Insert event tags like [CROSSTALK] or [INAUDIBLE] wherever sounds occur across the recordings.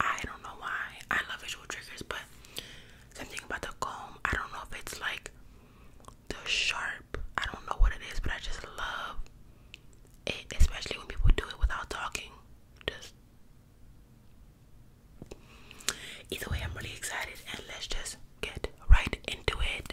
I don't know why. I love visual triggers, but something about the comb. I don't know if it's like the sharp. I don't know what it is, but I just love it, especially when people do it without talking. Just either way, I'm really excited, and let's just get right into it.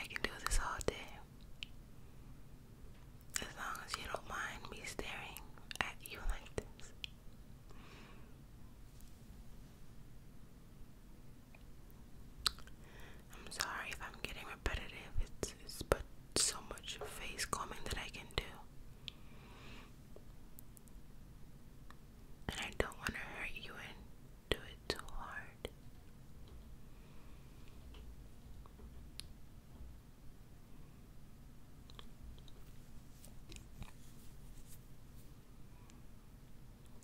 I can do this all day. As long as you don't mind me staring at you like this. I'm sorry if I'm getting repetitive. It's, it's but so much face combing that I can do. And I don't want to hurt you and do it too hard.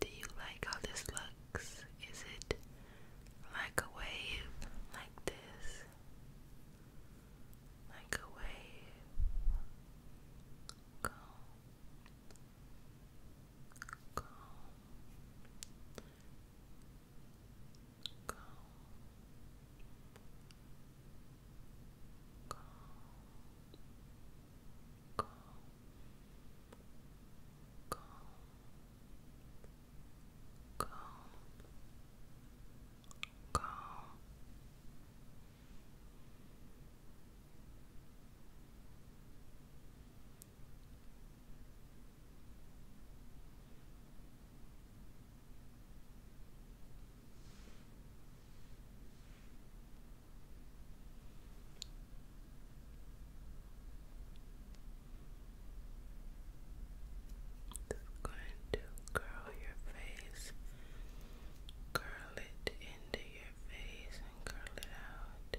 Do you like how this looks? Is it like a wave, like this? Like a wave. Go. calm, calm, calm, calm, calm. Just going to curl your face, curl it into your face, and curl it out.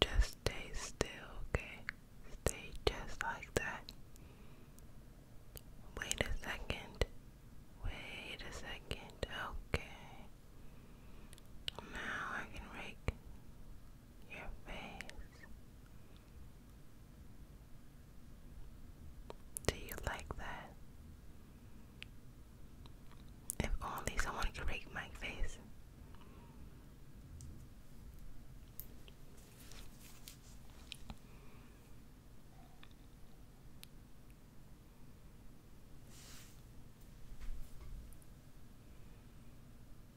just stay still, okay? Stay just like that. Wait a second. Wait a second. Okay. Now I can rake your face. Do you like that? If only someone could rake my face. Rake,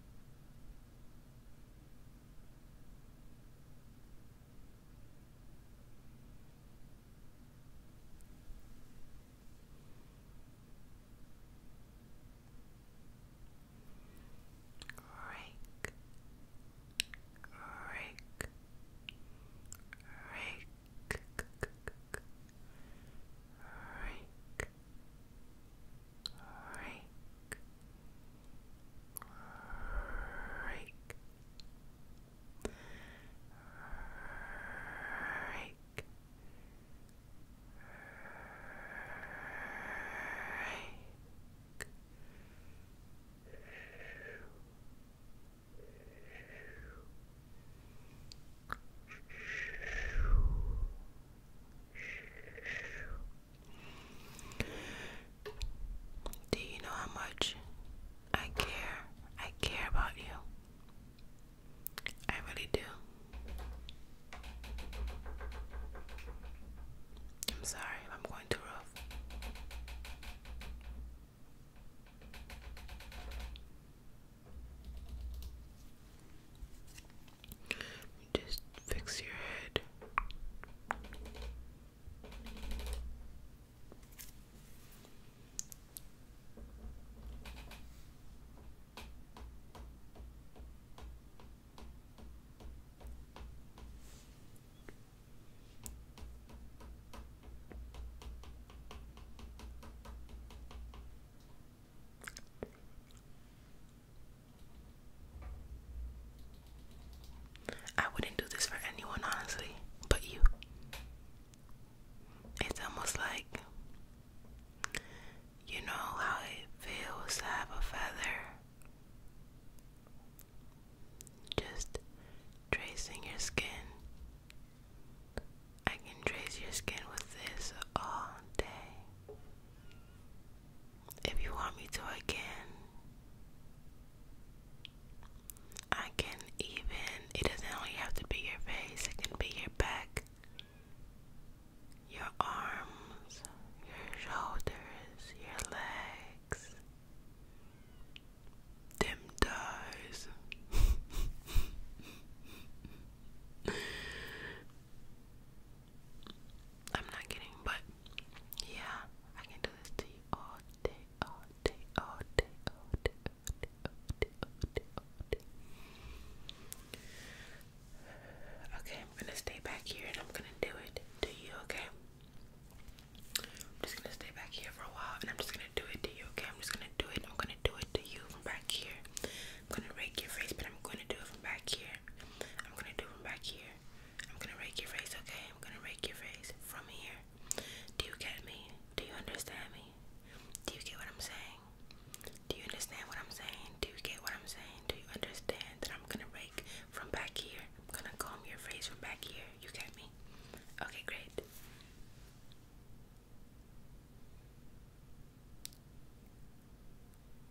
rake, rake, rake, rake, rake, rake, rake. Rake, do you know how much I care? I care about you. I really do. I'm sorry I'm going too rough. Just fix your head. I wouldn't do this for anyone, honestly, but you. It's almost like you know how it feels to have a feather. Just tracing your skin. I can trace your skin with this all day. If you want me to again, I can even, it doesn't only have to be your face, it can be your back, your arms, your shoulders, your legs, them thighs. [LAUGHS] I'm not kidding, but yeah, I can do this to you all day, all day, all day, all day, all day, Okay, I'm gonna stay back here and I'm gonna do it to you, okay? I'm just gonna stay back here for a while and I'm just gonna do it to you, okay? I'm just gonna do it, I'm gonna do it to you from back here. I'm gonna rake your face, but I'm gonna do it from back here. I'm gonna do it from back here. I'm gonna rake your face, okay? I'm gonna rake your face from here. Do you get me? Do you understand me? Do you get what I'm saying? Do you understand what I'm saying? Do you get what I'm saying? Do you understand that I'm gonna rake from back here? I'm gonna comb your face from back here. You get me? Okay, great.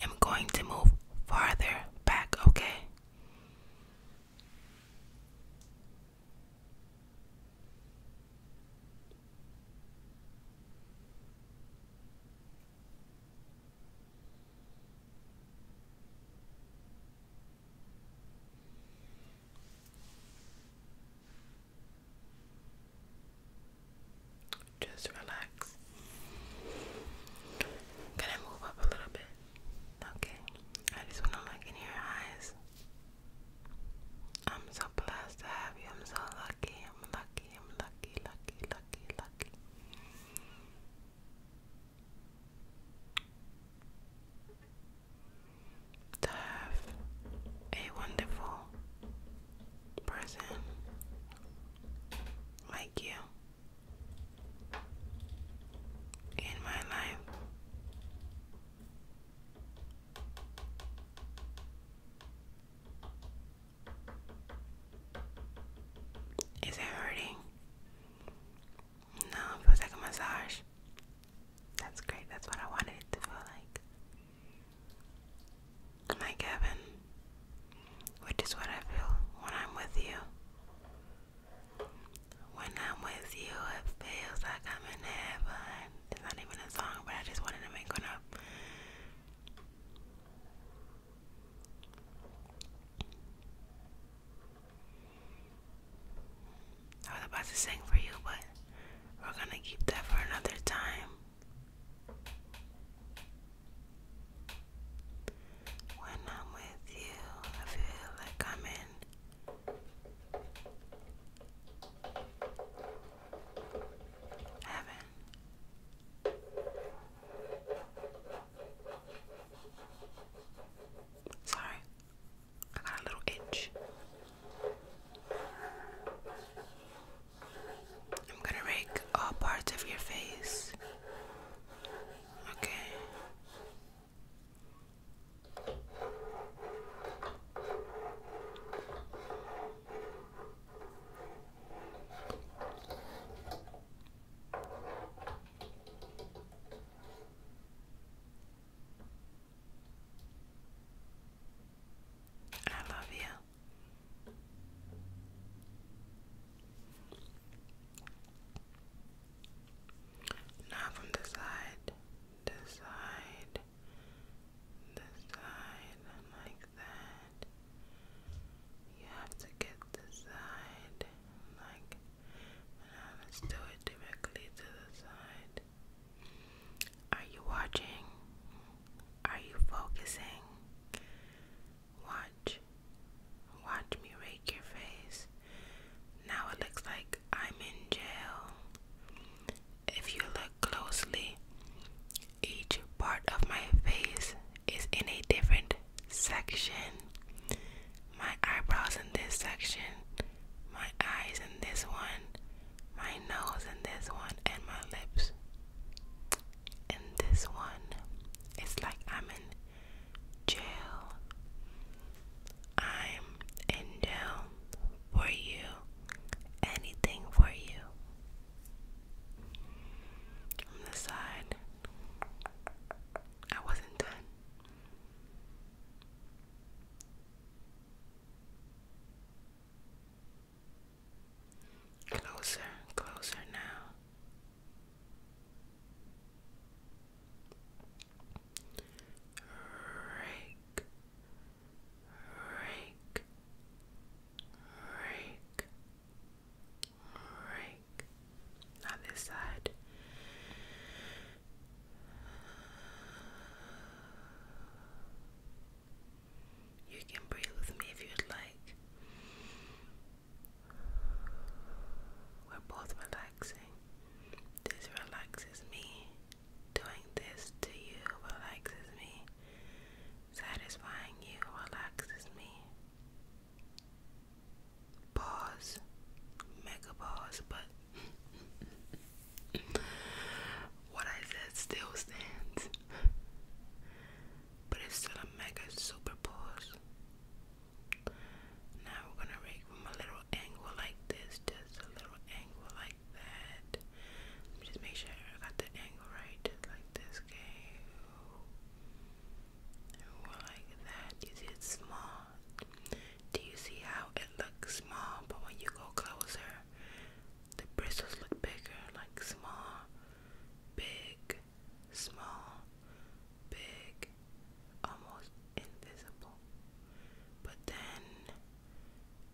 I'm going to move farther back, okay? I am going to move farther back, okay? Just relax. Can I move up a little bit? Okay. I just wanna look in your eyes. I'm so blessed to have you. I'm so lucky. I'm lucky. I'm lucky, lucky, lucky, lucky to have a wonderful person like you in my life. Is it hurting? No, it feels like a massage. That's great. That's what I wanted it to feel like. My Kevin, which is what I feel when I'm with you. When I'm with you, it feels like I'm in heaven. It's not even a song, but I just wanted to make one up. I was about to sing for you, but we're gonna keep that for another time. When I'm with you, I feel like I'm in. Heaven. Sorry, I got a little itch. I'm gonna rake all parts of your face. Okay. I love you. Now from the side, the side, the side, like that. You have to get the side like now let's do it directly to the side. Are you watching? Are you focusing? Watch. Watch me rake your face. Now it looks like I'm in jail. If you look closely, each part of my face is in a different section, my eyebrows in this section, my eyes in this one, my nose in this one, and my lips in this one. It's like I'm in jail. I'm in jail for you. Anything for you. From the side. I wasn't done. Closer, closer now. Rake, rake, rake. Alright. Now this side. You can breathe with me if you'd like. We're both relaxing. This relaxes me. Doing this to you relaxes me. Satisfying you relaxes me. Pause. Mega pause, but what I said still stands. But it's still a mega super pause. Now we're gonna rake a little angle like this, just a little angle like that. just make sure I got the angle right, just like this. Okay. Like that. You small. Do you see how it looks small? But when you go closer, the bristles look bigger, like small, big, small, big, almost invisible. But then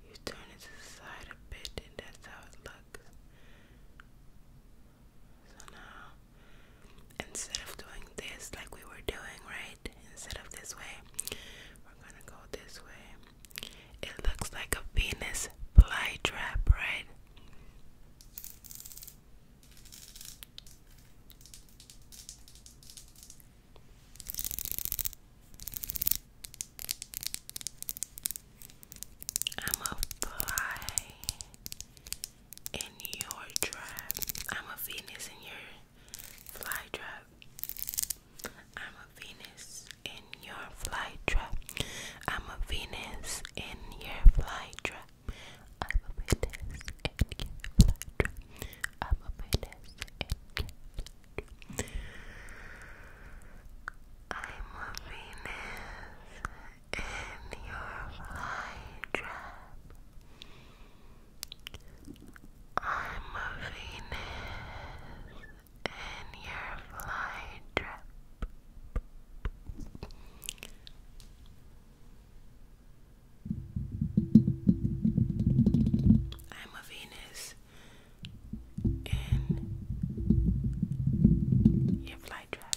you turn it to the side a bit and that's how it looks. So now, instead of doing this like we were doing, right? Instead of this way, we're gonna go this way. It looks like a Venus fly trap, right? I'm a fly in your trap. I'm a Venus in your fly trap. I'm a Venus in your fly trap. I'm a Venus in your fly trap. I'm a Venus in your fly trap. I'm a Venus in your fly trap. I'm a Venus in your fly trap. I'm a Venus in your fly trap. I'm a Venus in your fly trap.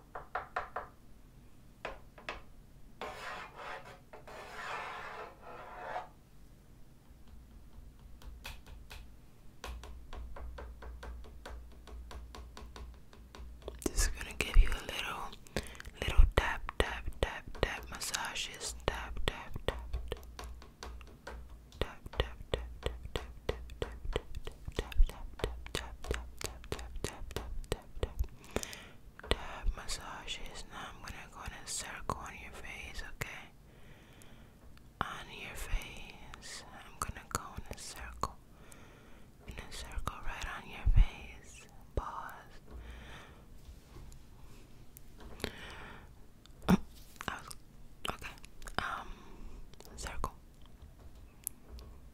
This is gonna give you a little, little tap, tap, tap, tap massages. Tap, tap, tap, tap, tap, tap, tap, tap, tap, tap, tap, tap, tap tap tap tap tap tap tap tap tap tap tap tap massages. Now I'm gonna go in a circle on your face, okay? On your face. I'm gonna go in a circle. In a circle right on your face. Pause. Oh, okay. Um circle.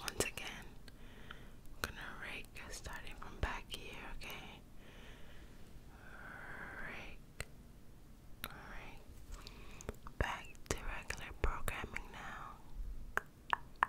Once again, gonna rake starting from back here, okay? Rake, rake. Back to regular programming now.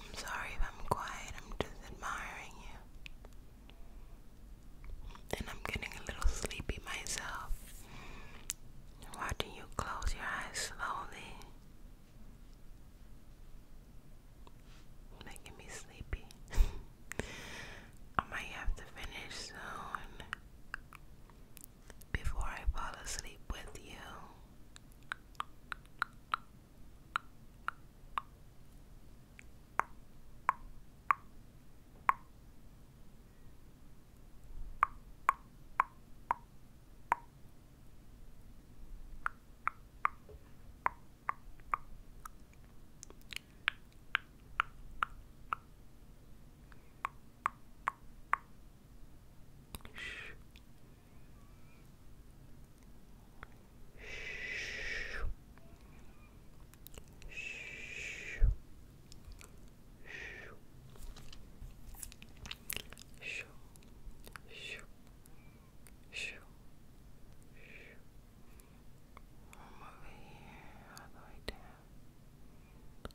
I'm sorry if I'm quiet, I'm just admiring you. And I'm getting a little sleepy myself. Watching you close your eyes slowly. Making me sleepy. [LAUGHS] I might have to finish soon before I fall asleep with you. Come over here, all the way down.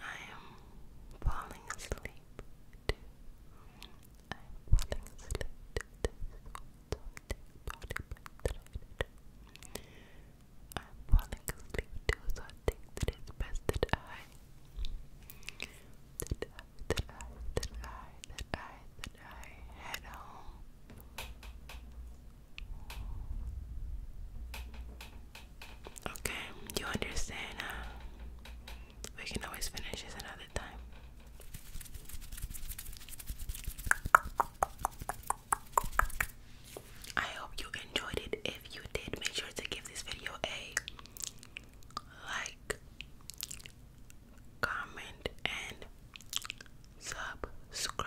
I am falling asleep I'm falling asleep I'm falling asleep so I think that it's best that I, that I, that I, that I, that I head home. Okay, Do you understand. Huh? We can always finish this another time. I hope you enjoyed it. If you did, make sure to give this video a like, comment, and subscribe.